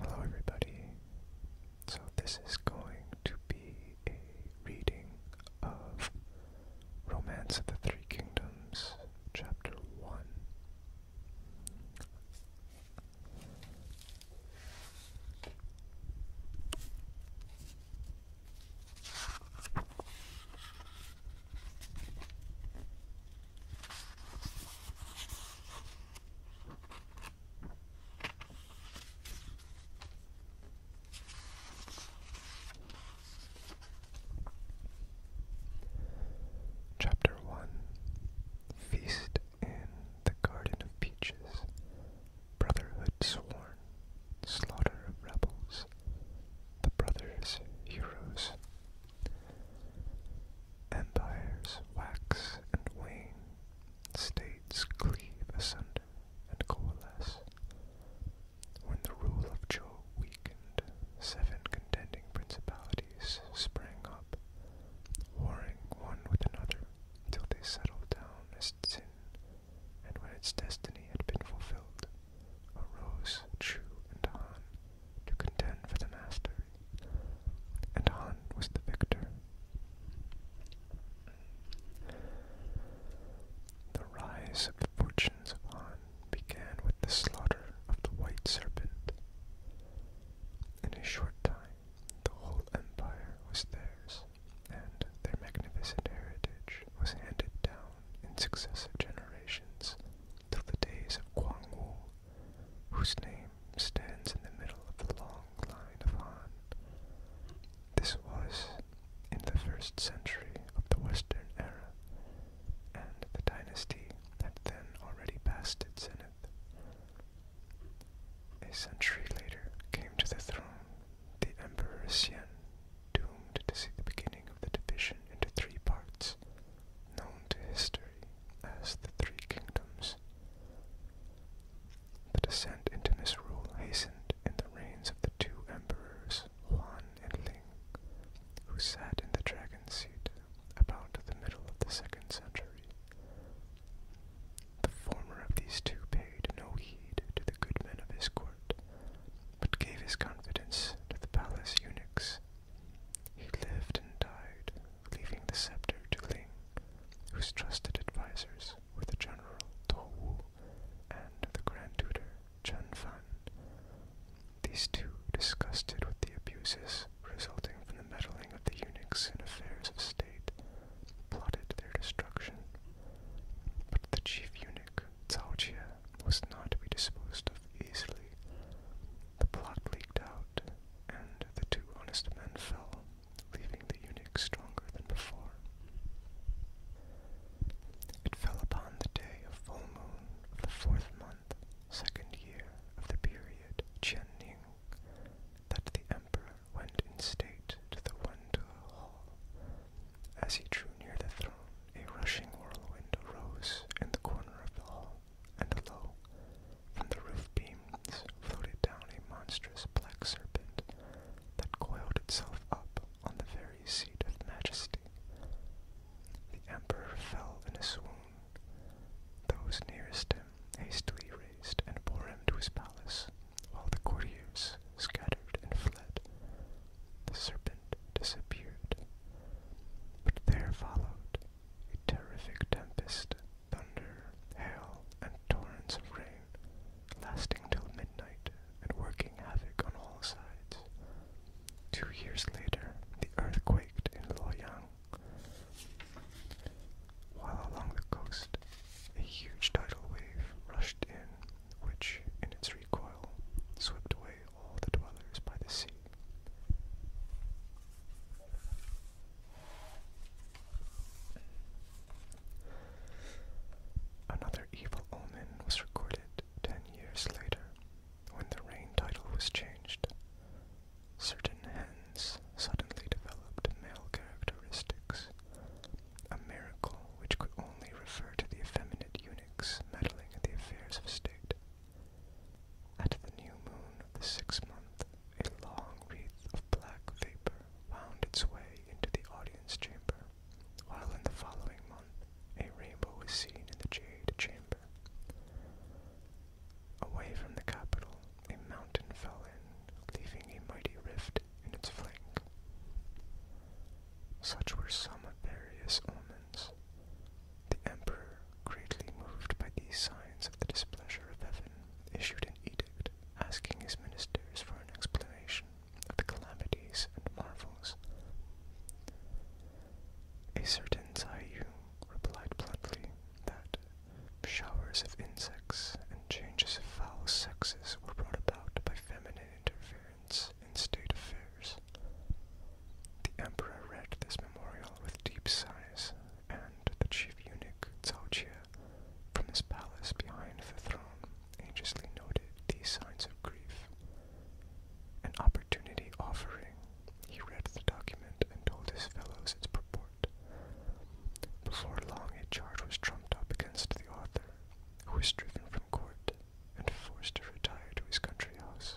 Hello, everybody. So, this is going to be a reading of Romance of the Three Kingdoms, Chapter 1. Chapter 1 Feast in the Garden of Peaches Brotherhood Sworn Slaughter of Rebels The Brothers Heroes Empires wax and wane, states cleave asunder and coalesce. When the rule of Zhou weakened, seven contending principalities sprang up, warring one with another till they settled down as Tsin, and when its destiny had been fulfilled, arose Chu and Han to contend for the mastery, and Han was the victor. The rise of the fortunes of Han began with the slaughter of the White Serpent. In a short time, the whole empire was theirs, and their magnificent heritage was handed down in successive generations till the days of Guangwu whose name stands in the middle of the long line of Han. This was in the first century of the Western era, and the dynasty had then already passed its zenith. A century later came to the throne the Emperor Xian, doomed to see the beginning of the division into three parts, known to history as the Three Kingdoms. The descent into misrule hastened in the reigns of the two emperors, Wan and Ling, who sat in the dragon's seat about the middle of the second century. The former of these two paid no heed to the good men of his court, but gave his confidence to the palace eunuchs he lived and died, leaving the scepter to Ling, whose trusted advisors were the General Do Wu and the Grand Tutor Chen Fan. These two, disgusted with the abuses resulting from the meddling of the eunuchs in affairs of state, plotted their destruction. But the chief eunuch, Cao Jie, was not to be disposed of easily. The plot leaked out, and the two honest men fell, leaving the eunuch stronger than before. It fell upon the day of full moon of the fourth month, second year of the period Qian Ning, that the emperor went in state to the Wendu Hall. As he drew near the throne, a rushing whirlwind arose in the corner of the hall, and lo, from the roof beams floated down a monstrous black serpent that coiled itself up on the very seat of majesty. The emperor fell in a swoon. Those nearest him hastily raised and bore him to his palace, while the courtiers scattered and fled. The serpent disappeared. But there followed a terrific tempest, thunder, hail, and torrents of rain, lasting till midnight and working havoc on all sides. Two years later, the earth quaked in Luoyang, while along the coast, a huge tidal wave rushed in, which, in its recoil, swept away all the dwellers by the sea. Another evil omen was recorded ten years later when the reign title was changed. Certain hens suddenly developed male characteristics, a miracle which could only refer to the effeminate eunuchs meddling in the affairs of state. At the new moon of the sixth month, a long wreath of black vapor wound its way into the audience chamber, while in the following month a rainbow was seen in the jade chamber. Away from the capital, a mountain fell in, leaving a mighty rift in its flank. Such were some of various omens. The emperor, greatly moved by these signs of the displeasure of heaven, issued an edict asking his ministers for an explanation of the calamities and marvels. A certain Zaiyu replied bluntly that showers of insects and changes of foul sexes were brought about by feminine interference in state affairs. The emperor read this memorial with deep sighs and the chief eunuch Cao from his palace behind the throne anxiously noted these signs of grief. An opportunity offering, he read the document and told his fellows its purport. Before long, a charge was trumped up against the author, who was driven from court and forced to retire to his country house.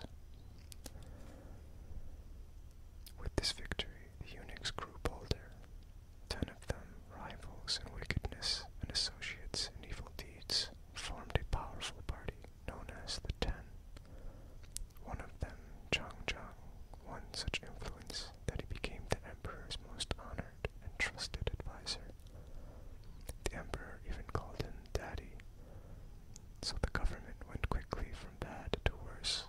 With this victory, the eunuchs grew bolder. Ten of them, rivals in wickedness and associates in evil deeds, formed a powerful party known as the Ten. One of them, Chang Chang, won such influence that he became the emperor's most honored and trusted adviser. The emperor even called him Daddy so the government went quickly from bad to worse,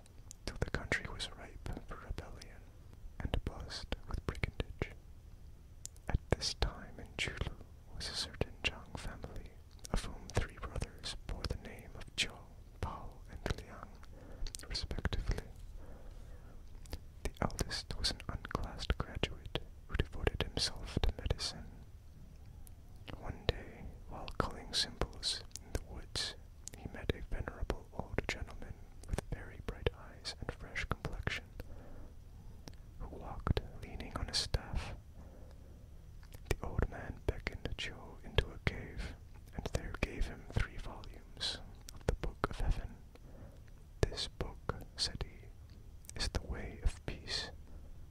till the country was ripe for rebellion and buzzed with brigandage. At this time in Chulu was a certain Zhang family, of whom three brothers bore the name of Zhou, Pao, and Liang, respectively. The eldest was an unclassed graduate who devoted himself to medicine one day, while culling symbols in the woods, he met a venerable old gentleman with very bright eyes and fresh complexion, who walked leaning on a staff. The old man beckoned Joe into a cave, and there gave him three volumes of the Book of Heaven. This book, said he, is the way of peace.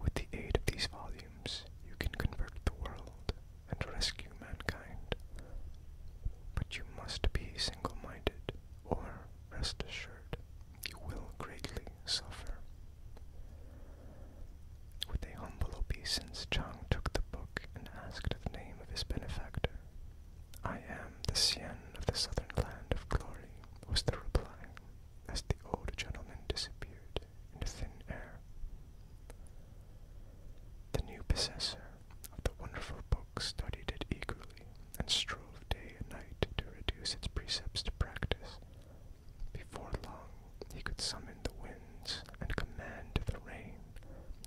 With the aid of these volumes, you can convert the world and rescue mankind. But you must be single minded, or rest assured, you will greatly suffer. With a humble obeisance, Chang took the book and asked the name of his benefactor. I am the Sien of the southern land of glory, was the reply, as the old gentleman disappeared into thin air. The new possessor of the wonderful book studied it eagerly and strove day and night to reduce its precepts to practice. Before long, he could summon the winds and command the rain,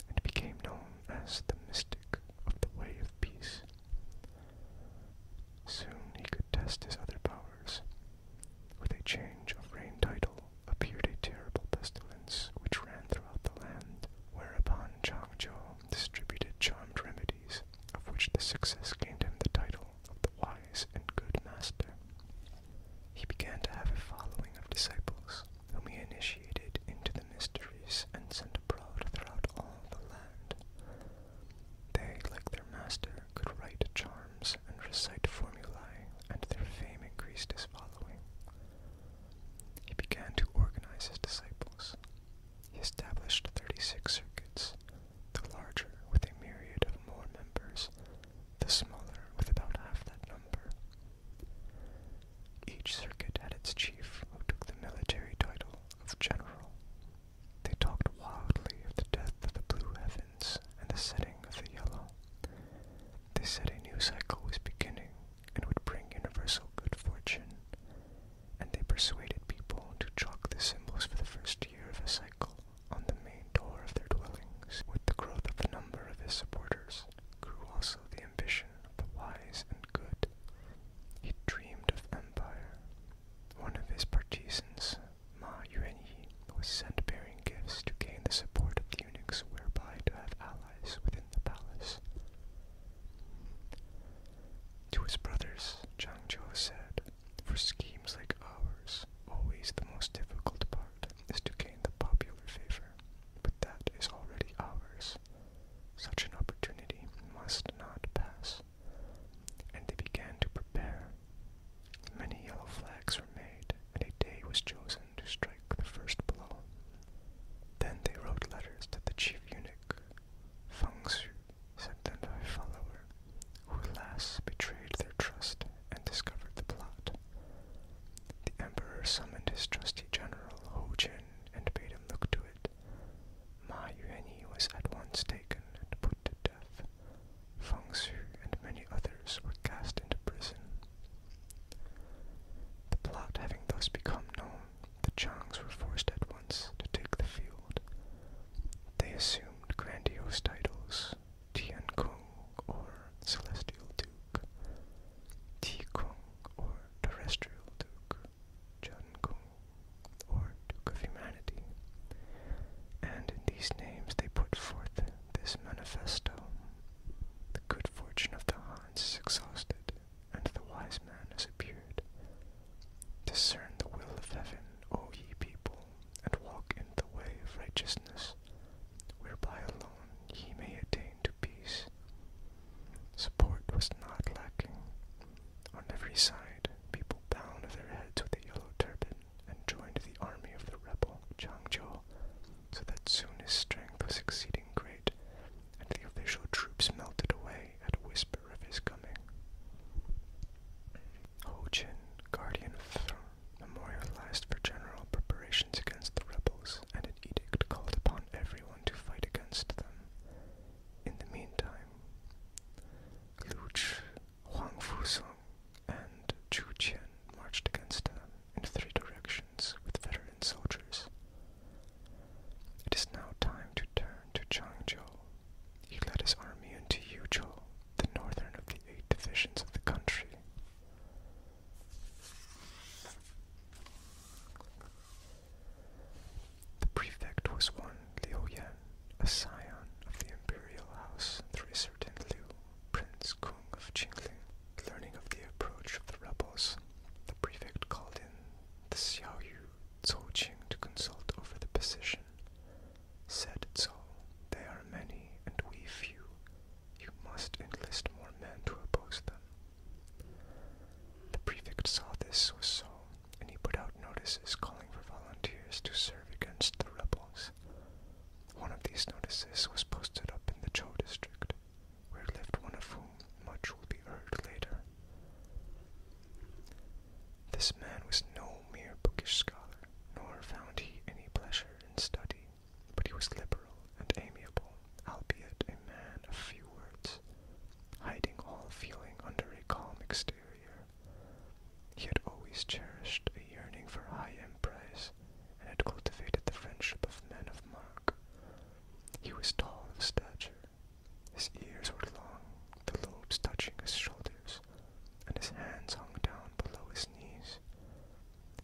and became known as the mystic of the way of peace. Soon he could test his other powers with a change of reign title appeared a terrible pestilence which ran throughout the land, whereupon Chang Chou distributed charmed remedies, of which the success gained him the title of the wise and good master. He began to have a following of disciples, whom he initiated into the mysteries and sent abroad throughout all the land. They, like their master, Arthur could write charms and recite formulae, and their fame increased his following. He began to organize his disciples. He established 36 circuits, the larger with a myriad of more members, the smaller with about half that number. Each circuit had its chief who took the military title of general. They talked wildly of the death of the Blue Heaven and the setting of the yellow. They said a new cycle was beginning and would bring universal good fortune, and they persuaded people to chalk the symbols for the first year of a cycle on the main door of their dwellings. With the growth of the number of his supporters grew also the ambition of the wise and good. He dreamed of empire. One of his partisans Ma Yuanyi was sent bearing gifts to gain the support of the eunuchs, whereby to have allies within the palace. To his brothers, Zhang Zhou said, For schemes like ours, always the most difficult part is to gain the popular favor, but that is already ours. Such an opportunity must not pass. And they began to prepare Many yellow flags were made, and a day was chosen to strike the first blow. Then they wrote letters to the chief eunuch. Feng Su sent them to follower, who alas betrayed their trust and discovered the plot. The emperor summoned his trusty general Ho Jin and bade him look to it. Ma Yuanyi was at once taken and put to death. Feng Su and many others were cast into prison. The plot having thus become known, the Chongs were forced at once to take the field. They assumed grandiose titles, Tian Kung or Celestial Duke, Ti Kung or Terrestrial Duke, Chun Kung or Duke of Humanity, and in these names they put forth this manifesto, the good fortune of the Hans is exhausted, and the wise man has appeared. Discern the will of heaven, O ye people, and walk in the way of righteousness, whereby alone ye may attain to peace. Support was not lacking. On every side, people bound their heads with a yellow turban, and joined the army of the rebel Changzhou, so that soon his strength was exceeding great, and the official troops melted away at a whisper of his coming. Ho Jin, guardian of the throne, memorialized for general preparations against the rebels, and an edict called upon everyone to fight against them. In the meantime, Lu Chi, Huang Fusong, and Chu Qian marched against them in three directions with veteran soldiers. It is now time to turn to Changzhou. He led his army into Yuzhou, the northern of the eight divisions of the country. The prefect was one Liu Yan, a scion of the imperial house through a certain Liu, Prince of Qingli. Learning of the approach of the rebels, the prefect called in the Xiaoyu Zouqing to consult over the position. Said Zhou, they are many and we few. You must enlist more men to oppose them. The prefect saw this was so, and he put out notices calling for volunteers to serve against the rebels. One of these notices was posted up in the Cho district, where lived one of whom much will be heard later. This man was no mere bookish scholar, nor found he any pleasure in study, but he was liberal and amiable, albeit a man of few words, hiding all feeling under a calm exterior. He had always cherished a yearning for high emprise, and had cultivated the friendship of men of mark. He was tall of stature, his ears were long, the lobes touching his shoulders, and his hands hung down below his knees.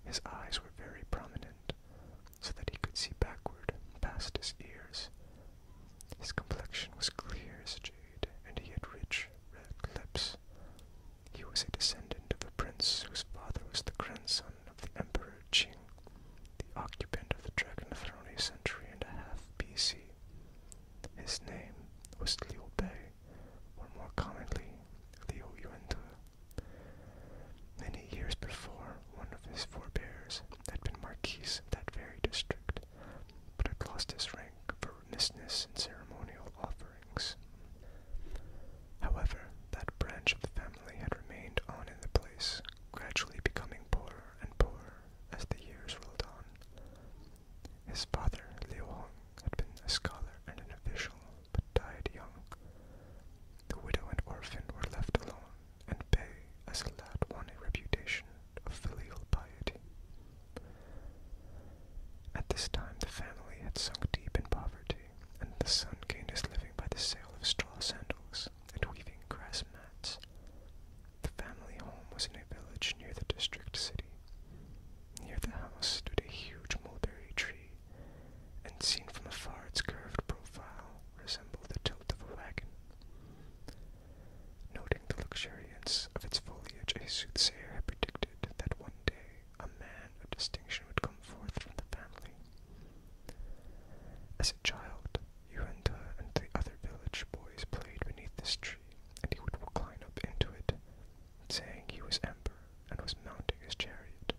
His eyes were very prominent, so that he could see backward past his ears. His complexion was clear as jade, and he had rich red lips. He was a descendant of a prince whose father was the grandson of the Emperor Qing, the occupant of the Dragon Throne a century and a half BC. His name was Liu Bei, or more commonly, Liu Yuantu. Many years before, one of his forebears had been marquis of that very district, but had lost his rank for remissness in ceremonial office. However, that branch of the family had remained on in the place, gradually becoming poorer and poorer as the years rolled on. His father, Liu Hong, had been a scholar and an official, but died young. The widow and orphan were left alone, and Bei, as a lad, won a reputation of filial piety. At this time, the family had sunk deep in poverty, and the son gained his living by the sale of straw sandals and weaving grass mats. The family home was in a village near the district city. Near the house stood a huge mulberry tree, and seen from afar, its curved profile resembled the tilt of a wagon. Noting the luxuriance of its foliage, a soothsayer had predicted that one day a man of distinction would come forth from the family. As a child, Yuenda and the other village boys played beneath this tree, and he would climb up into it, saying he was Emperor and was mounting his chariot.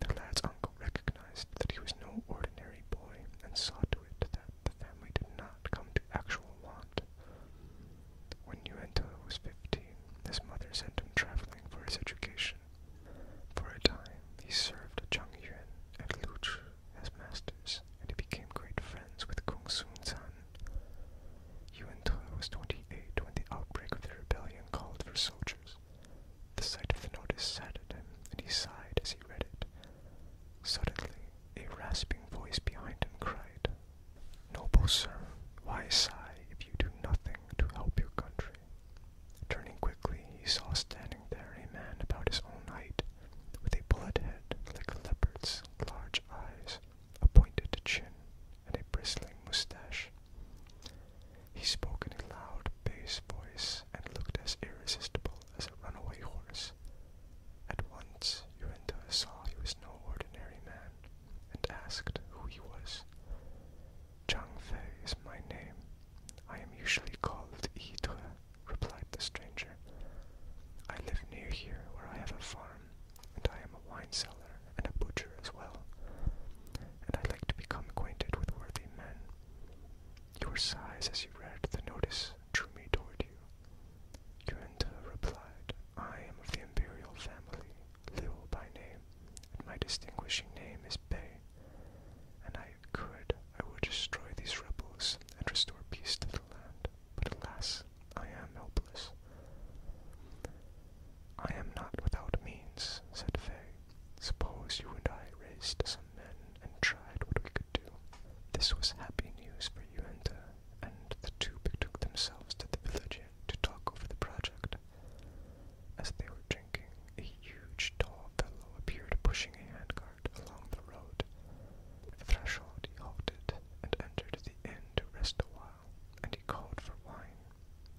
The lad's uncle recognized that he was no ordinary boy and saw to it that the family did not come to actual want. When Yuenta was fifteen, his mother sent him traveling for his education. For a time, he served Chang Yuan and Lu Chu as masters, and he became great friends with Kung Sun San. Yuan Te was 28 when the outbreak of the rebellion called for soldiers. The sight of the notice saddened him, and he sighed as he read it. Suddenly, a rasping voice behind him cried, Noble sir, why sigh if you do nothing? to help your country. Turning quickly, he saw standing there a man about his own height, with a bullet head like a leopard's, large eyes, a pointed chin, and a bristling mustache. He spoke in a loud, bass voice and looked as irresistible as a runaway horse. At once, Uinta saw he was no ordinary man, and asked who he was. Fei is my name. I am usually called Yitre, replied the stranger. I live near here where I have a farm, and I am a wine seller and a butcher as well, and I like to become acquainted with worthy men. Your sighs as you read the notice drew me toward you. Yuenta replied, I am of the imperial family Liu by name, and my distinguishing name is Bay. And I could, I would destroy these rebels and restore peace to the land. But alas, I am helpless. I am not without means, said Fay. Suppose you and I raised some men and tried what we could do. This was happy news for Yuenta, uh, and the two betook themselves to the village to talk over the project. As they were drinking, a huge, tall fellow appeared pushing a handcart along the road. At threshold he halted and entered the inn to rest a while, and he called for wine.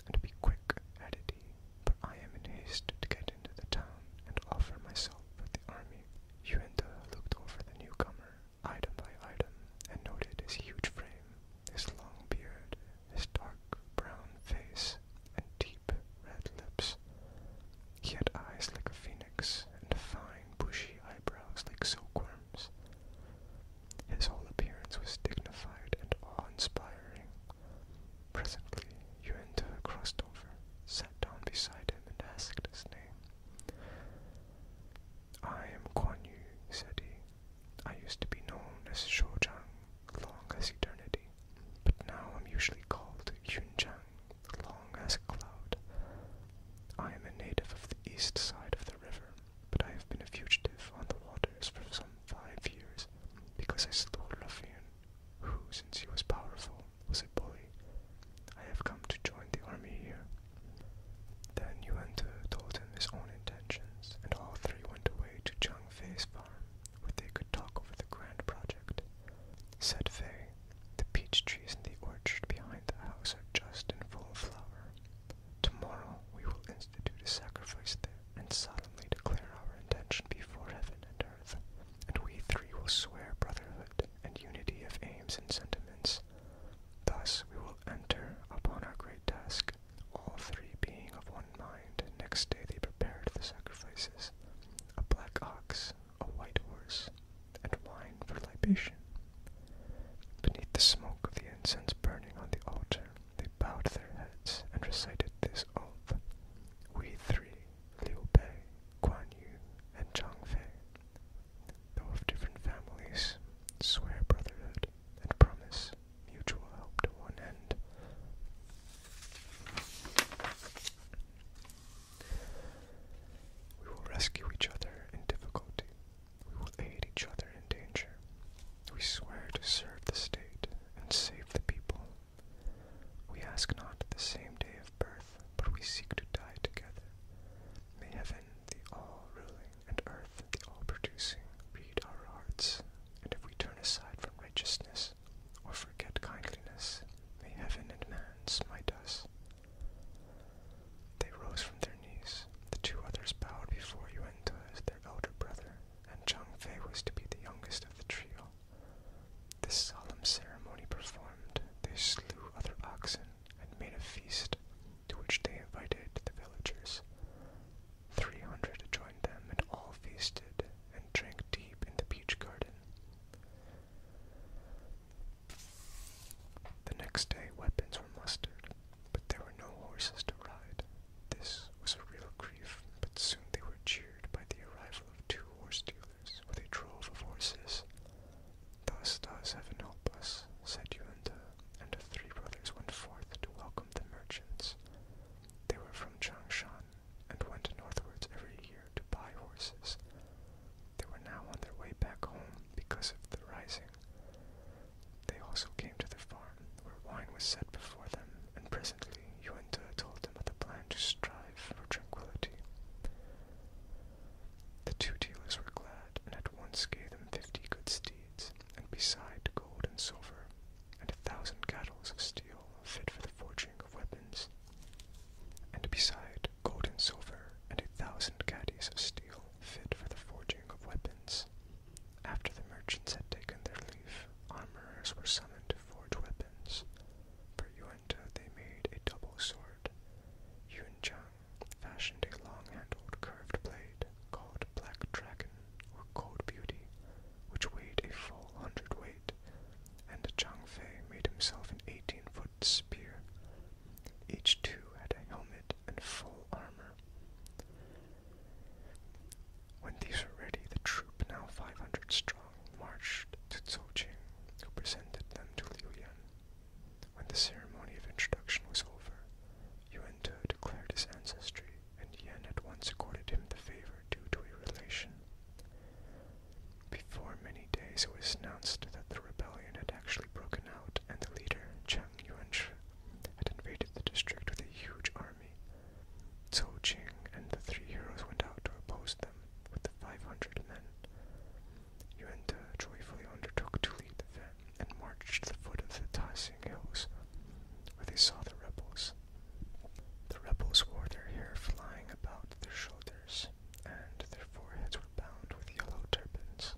And be quick, added he, for I am in haste to get into the town and offer myself for the army. Yuenda looked over the newcomer, item by item, and noted his huge frame, his long beard, his dark brown face and deep red lips. He had eyes like a phoenix and fine bushy eyebrows like silkworms. His whole appearance was dignified and awe-inspiring. Presently, Yuenta crossed over, sat down beside him, and asked his name. I am Guan Yu, said he. I used to be known as Shojang, long as eternity, but now I'm usually called Yunjiang, long as a cloud. I am a native of the east side of the river, but I have been a fugitive on the waters for some five years because I slew a ruffian who, since he was powerful, was a bully. I have come to join the army here. Then Yuan told him his own intentions, and all three went away to Chang Fay's farm, where they could talk over the grand project. Said Fay, the peach trees in the orchard behind the house are just in full flower. Tomorrow we will institute a sacrifice there, and solemnly declare our intention before heaven and earth, and we three will swear brotherhood and unity of aims and sentiments. Thus we will enter upon our great task, all three being of one mind. Next day they prepared the sacrifices a black ox, a white horse, and wine for libation. Beneath the smoke of the incense burning on the altar, they bowed their heads and recited this oath We three, Liu Bei, Guan Yu, and Zhang Fei, though of different families, swear brotherhood and promise mutual help to one end. We will rescue each other in difficulty. We will aid each other in danger. We swear to serve the state and save the people. We ask not the same day of birth, but we seek to die together. May heaven, the all ruling, and earth the all producing, read our hearts. And if we turn aside from righteousness, or forget kindliness, may heaven and man smite us. They rose from their knees. The two others bowed before Yuenta as their elder brother, and Chang Fei was to be the youngest of the trio. This solemn ceremony performed, they slew other oxen and made a feast to which they invited the villagers. Three hundred joined them, and all feasted and drank deep in the peach garden. The next day, weapons were mustered, but there were no horses to ride. This was a real grief, but soon they were cheered by the arrival of two horse dealers with a drove of horses. Thus does heaven help us, said Yuenda, and the three brothers went forth to welcome the merchants. They were from Changshan and went northwards every year to buy horses. They were now on their way back home because of the rising. They also came to the farm, where wine was set before them, and presently Yuan Te told them of the plan to strive for tranquility. The two dealers were glad, and at once gave them fifty good steeds and beside gold and silver, and a thousand gattles of steel fit for the forging of weapons, and beside gold and silver, and a thousand caddies of steel fit for the forging of weapons. After the merchants had taken their leave, armorers were summoned to forge weapons. For Yuenta they made a double sword. Yun Chang fashioned a long handled curved blade called black dragon or cold beauty, which weighed a full hundredweight, and Chang Fei made himself an eighteen foot spear. Each two had a helmet and full armor. When these were ready, the troop, now five hundred strong, marched to Jing, who presented them to Liu Yan. When the ceremony of introduction was over, Yuan Tu declared his ancestry and Yen at once accorded him the favor due to a relation. Before many days, it was announced that the rebellion had actually broken out, and the leader, Chang Yuanshi, had invaded the district with a huge army. Zhou Qing and the three heroes went out to oppose them with the 500 men. Yuan De joyfully undertook to lead the van and marched to the foot of the Taxing Hills, where they saw the rebels. The rebels wore their hair flying about their shoulders, and their foreheads were bound with yellow turbans.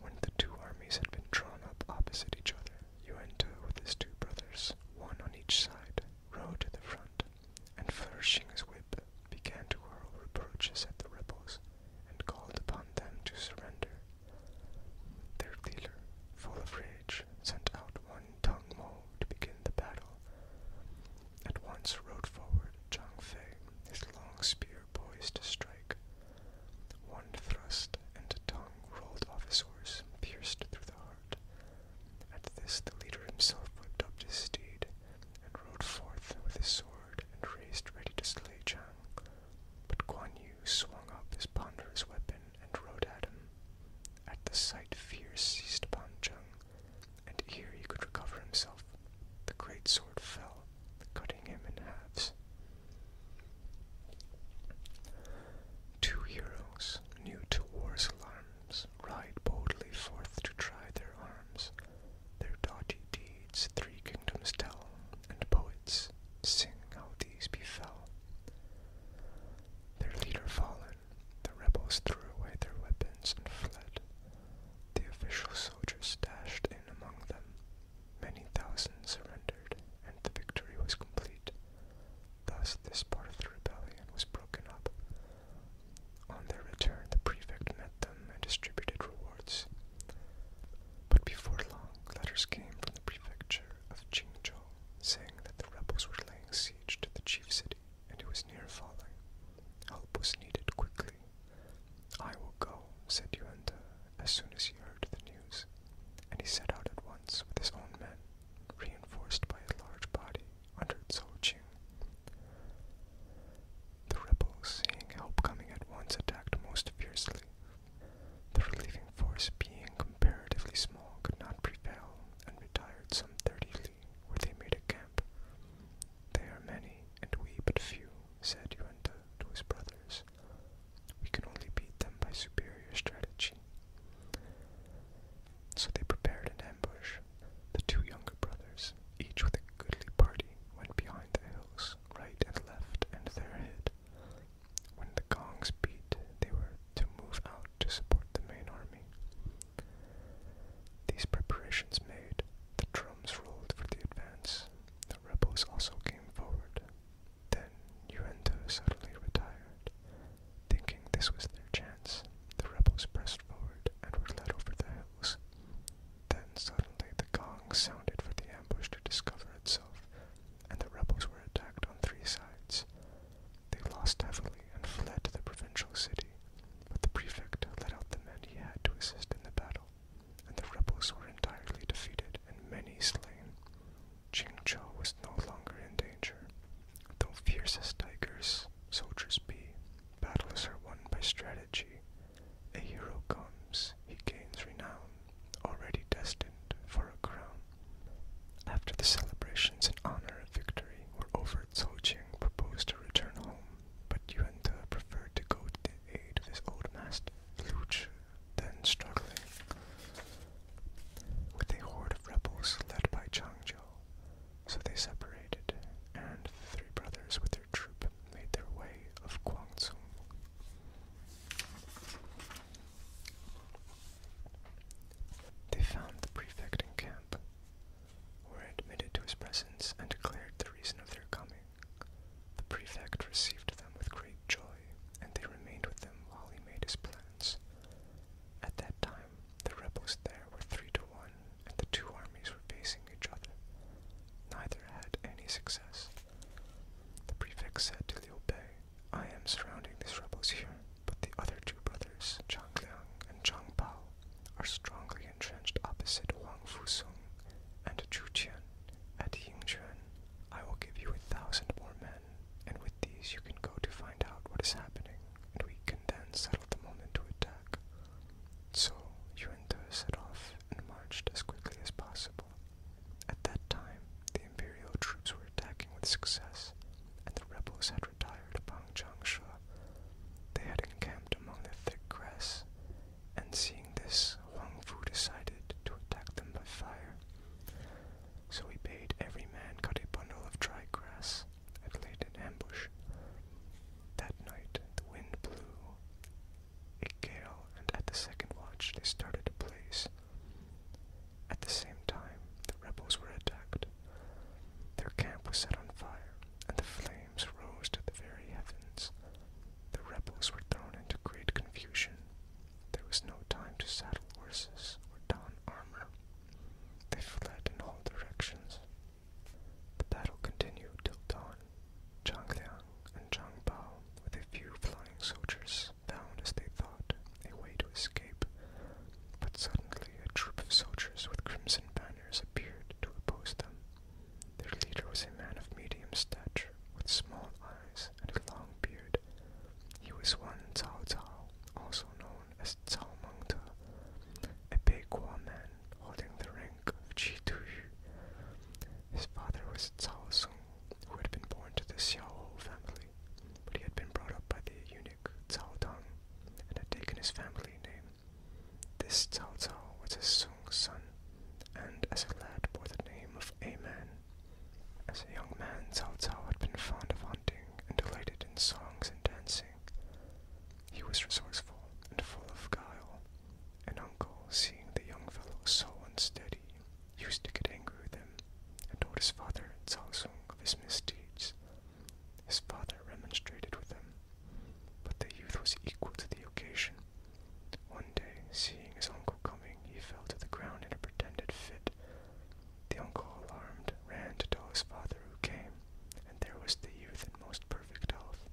When the two armies had been drawn up opposite each other, Yuan Yuento with his two brothers, one on each side, rode to the front, and flourishing his whip, began to hurl reproaches at the rebels, and called upon them to surrender. Their leader, full of rage, sent out one Tung Mo to begin the battle. At once rode forward Zhang Fei, his long spear poised to strike. One thrust and a rolled off his horse, pierced through the heart. At this the leader himself whipped up his steed, and rode forth with his sword raised ready to slay Chang. But Guan Yu swung up his ponderous weapon and rode at him. At the sight fear seized upon Jung, and ere he could recover himself, the great sword fell, cutting him in halves. Two heroes, new to war's alarms, ride boldly forth to try their arms. Their doughty deeds three kingdoms tell, and poets sing how these befell. Their leader fallen, the rebels threw away their weapons and fled. The official soldiers dashed in among them. Many thousands surrendered, and the victory was complete. Thus, this part of the rebellion was broken up. On their return, the prefect met them and distributed rewards. But before long, letters came from the prefecture of Qingzhou, saying that the rebels were laying siege to the chief city and it was near falling. Help was needed quickly. I will go, said Yuan as soon as he heard the news, and he set out at once with his own men, reinforced by a large body under Zhou Qing. The rebels, seeing help coming at once, attacked most fiercely, the relieving force, being comparatively small, could not prevail and retired some thirty li, where they made a camp. They are many, and we but few, said Yuenta to his brothers. We can only beat them by superior strategy. So they prepared an ambush. The two younger brothers, each with a goodly party, went behind the hills, right and left, and there hid. When the gongs beat, they were to move out to support the main army. These preparations made, the drums rolled for the advance. The rebels also came forward. Then Uendo suddenly retired. Thinking this was their chance, the rebels pressed forward and were led over the hills. Then suddenly the gong sounded for the ambush to discover itself, and the rebels were attacked on three sides. They lost heavily and fled to the provincial city, but the prefect led out the men he had to assist in the battle, and the rebels were entirely defeated and many slain. Qingzhou was no longer in danger. Though fierce as tigers, soldiers be, battles are won by strategy. A hero comes, he gains renown already destined for a crown. After the celebrations in honor of victory over, Zhou Jing proposed to return home, but Yuan preferred to go to the aid of his old master, Looch, then struggling with a horde of rebels led by Chang Zhou. So they separated, and the three brothers with their troop made their way of Guangzhou. They found the prefect in camp, were admitted to his presence, and declared the reason of their coming. The prefect received them with great joy, and they remained with him while he made his plans. At that time, the rebels there were three to one, and the two armies were facing each other. Neither had any success. The prefect said to Liu Bei, I am surrounding these rebels here, but the other two brothers, Zhang Liang and Zhang Bao, are strongly entrenched opposite Wang Fusung and Chu Qian at Yingquan. I will give you a thousand more men, and with these you can go to find out what is happening, and we can then settle the moment to attack. So Yuan De set off and marched as quickly as possible. At that time, the imperial troops were attacking with success, and the rebels had retired upon Changsha. They had encamped among the thick grass, and seeing this, Huang Fu decided to attack them by fire. So he bade every man cut a bundle of dry grass and laid an ambush. That night, the wind blew a gale, and at the second watch they started to blaze. At the same time, the rebels were attacked. Their camp was set on fire, and the flames rose to the very heavens. The rebels were thrown into great confusion. There was no time to saddle horses or don armor. They fled in all directions. The battle continued till dawn. Zhang Liang and Zhang Bao, with a few flying soldiers, found, as they thought, a way to escape, but suddenly a troop of soldiers with crimson banners appeared to oppose them. Their leader was a man of medium stature, with small eyes and a long beard. He was one Cao Cao, also known as Cao Mengde, a Beigua man holding the rank of Qi Tuyu. His father was Cao Song, who had been born to the Xiaohou family but he had been brought up by the eunuch Cao Dong, and had taken his family name. This Cao Cao was a Sung's son, and as a lad bore the name of A Man. As a young man, Cao Cao had been fond of hunting and delighted in songs and dancing. He was resourceful and full of guile. An uncle, seeing the young fellow so unsteady used to get angry with him and told his father Zhao Song of his misdeeds. His father remonstrated with him, but the youth was equal to the occasion. One day, seeing his uncle coming, he fell to the ground in a pretended fit. The uncle, alarmed, ran to tell his father who came, and there was the youth in most perfect health.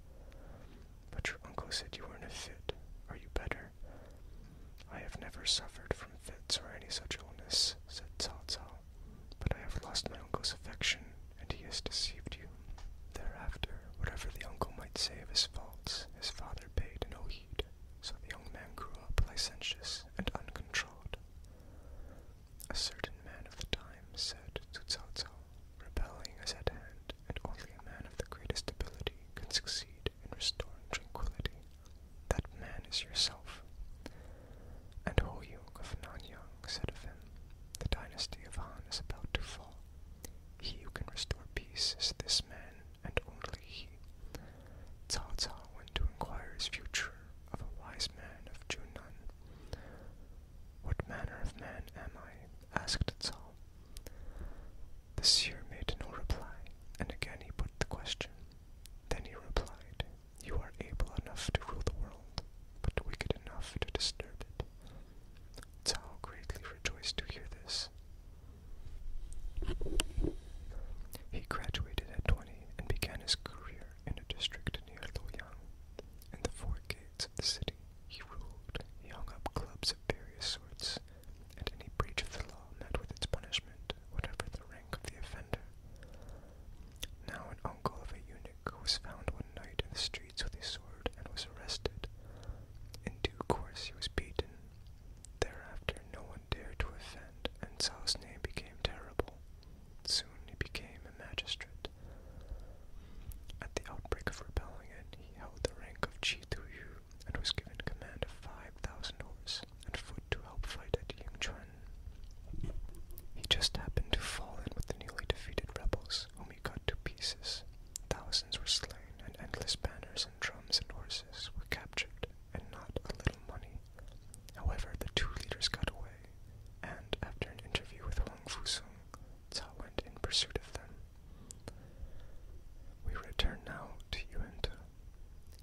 But your uncle said you were in a fit. Are you better? I have never suffered from fits or any such illness, said Cao Cao, but I have lost my uncle's affection, and he has deceived you. Thereafter, whatever the uncle might say of his faults, his father paid no heed, so the young man grew up licentious and uncontrolled. A certain man of the time said to Cao Rebelling is at hand, and only a man of the greatest ability can succeed and restore tranquility, that man is yourself. And Ho Hoyung of Nanyang said of him, The dynasty of Han is about to fall. He who can restore peace is this man, and only he. Cao Cao went to inquire his future of a wise man of Junan. What manner of man am I? asked Cao. The seer made no reply, and again he put the question. Then he replied, You are able enough to rule the world, but wicked enough to disturb it. Cao greatly rejoiced to hear this. He graduated at 20 and began his career in a district near Luoyang. In the four gates of the city, he ruled, he hung up clubs of various sorts, and any breach of the law met with its punishment, whatever the of the offender. Now an uncle of a eunuch was found one night in the streets with a sword and was arrested. In due course he was beaten. Thereafter no one dared to offend, and Saul's name became terrible. Soon he became a magistrate. At the outbreak of rebellion, he held the rank of Chi Tuyu and was given command of five thousand horse and foot to help fight at Yingchuan. He just happened to fall in with the newly defeated rebels, whom he cut to pieces. Thousands were slain, and endless banners and drums and horses were captured, and not a little money. However, the two leaders got away, and after an interview with Huang Fusung, Cao went in pursuit of them. We return now to Yuenta.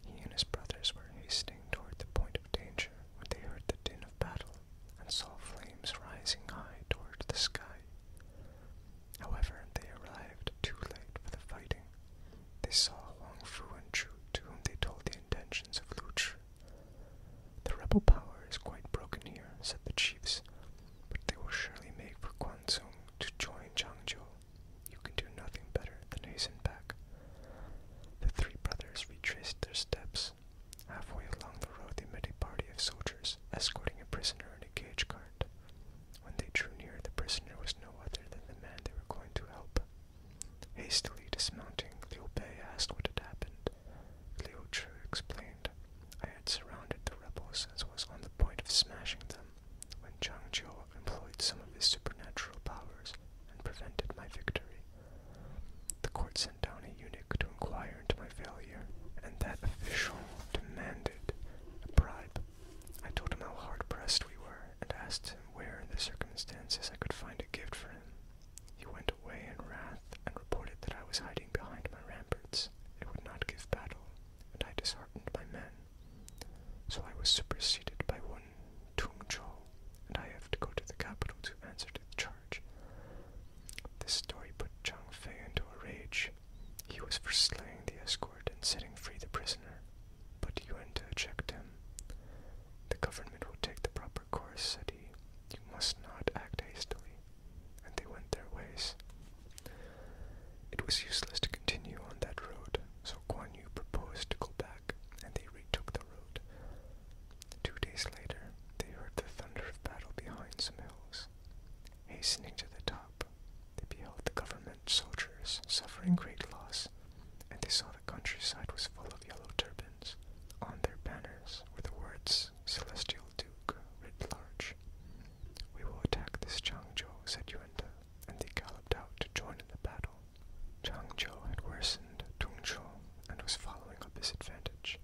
He and his brothers were hastening toward the point of danger when they heard the din of battle and saw flames rising high toward the sky. However, they arrived too late for the fighting. They saw Huang Fu and Chu, to whom they told the intentions of Lu Chu. The rebel power is quite broken here, said the chiefs, but they will surely make for Guanzhong to join Changzhou." You can do nothing better than hasten back. The three brothers retraced their steps. Halfway along the road, they met a party of soldiers escorting a prisoner in a cage cart. When they drew near, the prisoner was no other than the man they were going to help. Hastily dismounting, Liu Bei asked what had happened. Liu Chu explained, I had surrounded the rebels and was on the point of smashing them when Chang Chiu employed some of his supernatural powers and prevented my victory. The court sent down a eunuch to inquire into my failure, and that official demanded a bribe. I told him how hard pressed we were, and asked him where in the circumstances I could find a gift for him. He went away in wrath and reported that I was hiding behind my ramparts. It would not give battle, and I disheartened my men. So I was superseded by one. Tungzhou, and I have to go to the capital to answer to the charge. This story put Chang Fei into a rage. He was for slaying the escort and setting free the prisoner, but Yuan Te checked him. The government will take the proper course, said he. You must not act hastily. And they went their ways. It was useless to continue on that road, so Guan Yu proposed to go back and they retook the road. Two days later, they heard the thunder of battle behind some hills. Hastening to the top, they beheld the government soldiers suffering great loss, and they saw the countryside was full of yellow turbans. On their banners were the words Celestial Duke writ large. We will attack this Changzhou, said Yuanda, and they galloped out to join in the battle. Chang Zhou had worsened Tung Chou and was following up his advantage.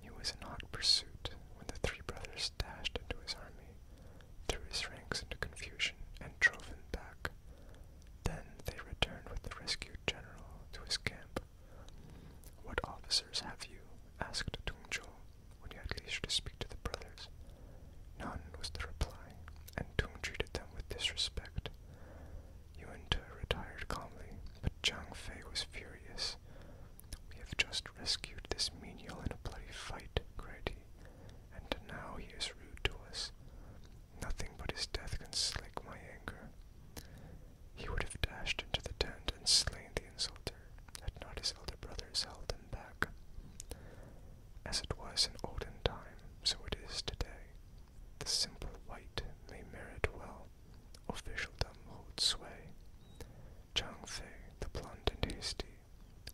He was in hot pursuit when the three brothers dashed into his army, threw his ranks into confusion, and drove him back. Then they returned with the rescued general to his camp. What officers have you? asked Tung Chou when he had leisure to speak to the brothers. None was the reply, and Tung treated them with disrespect. Yuan Te retired calmly, but Chang Fei was furious. We have just rescued this menial in a bloody fight, cried he, and now he is rude to us. Nothing but his death can slake my anger. He would have dashed into the tent and slain the insulter, had not his elder brothers held him back. As it was in olden time, so it is today. The simple white may merit well, officialdom holds sway. Chang Fei, the blunt and hasty,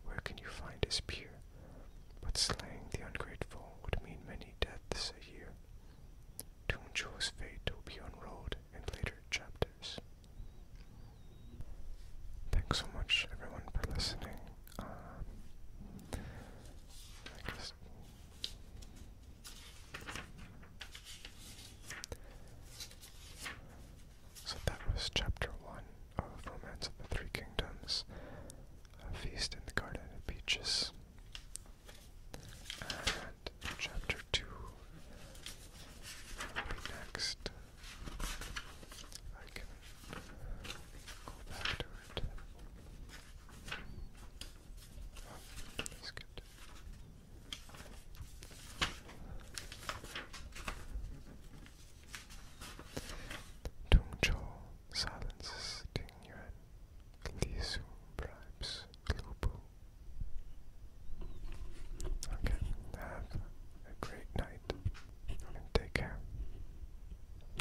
where can you find his peer? But slaying the ungrateful would mean many deaths a year. Tung Cho's fate will be unrolled in later chapters. Thanks so much, everyone, for listening. Um, so that was chapter one of Romance of the Three Kingdoms, A Feast in the Garden of Peaches. And chapter two will be next. I can go back to it. That's good. silences Ding Yuan. bribes Lu Okay, have a great night and take care.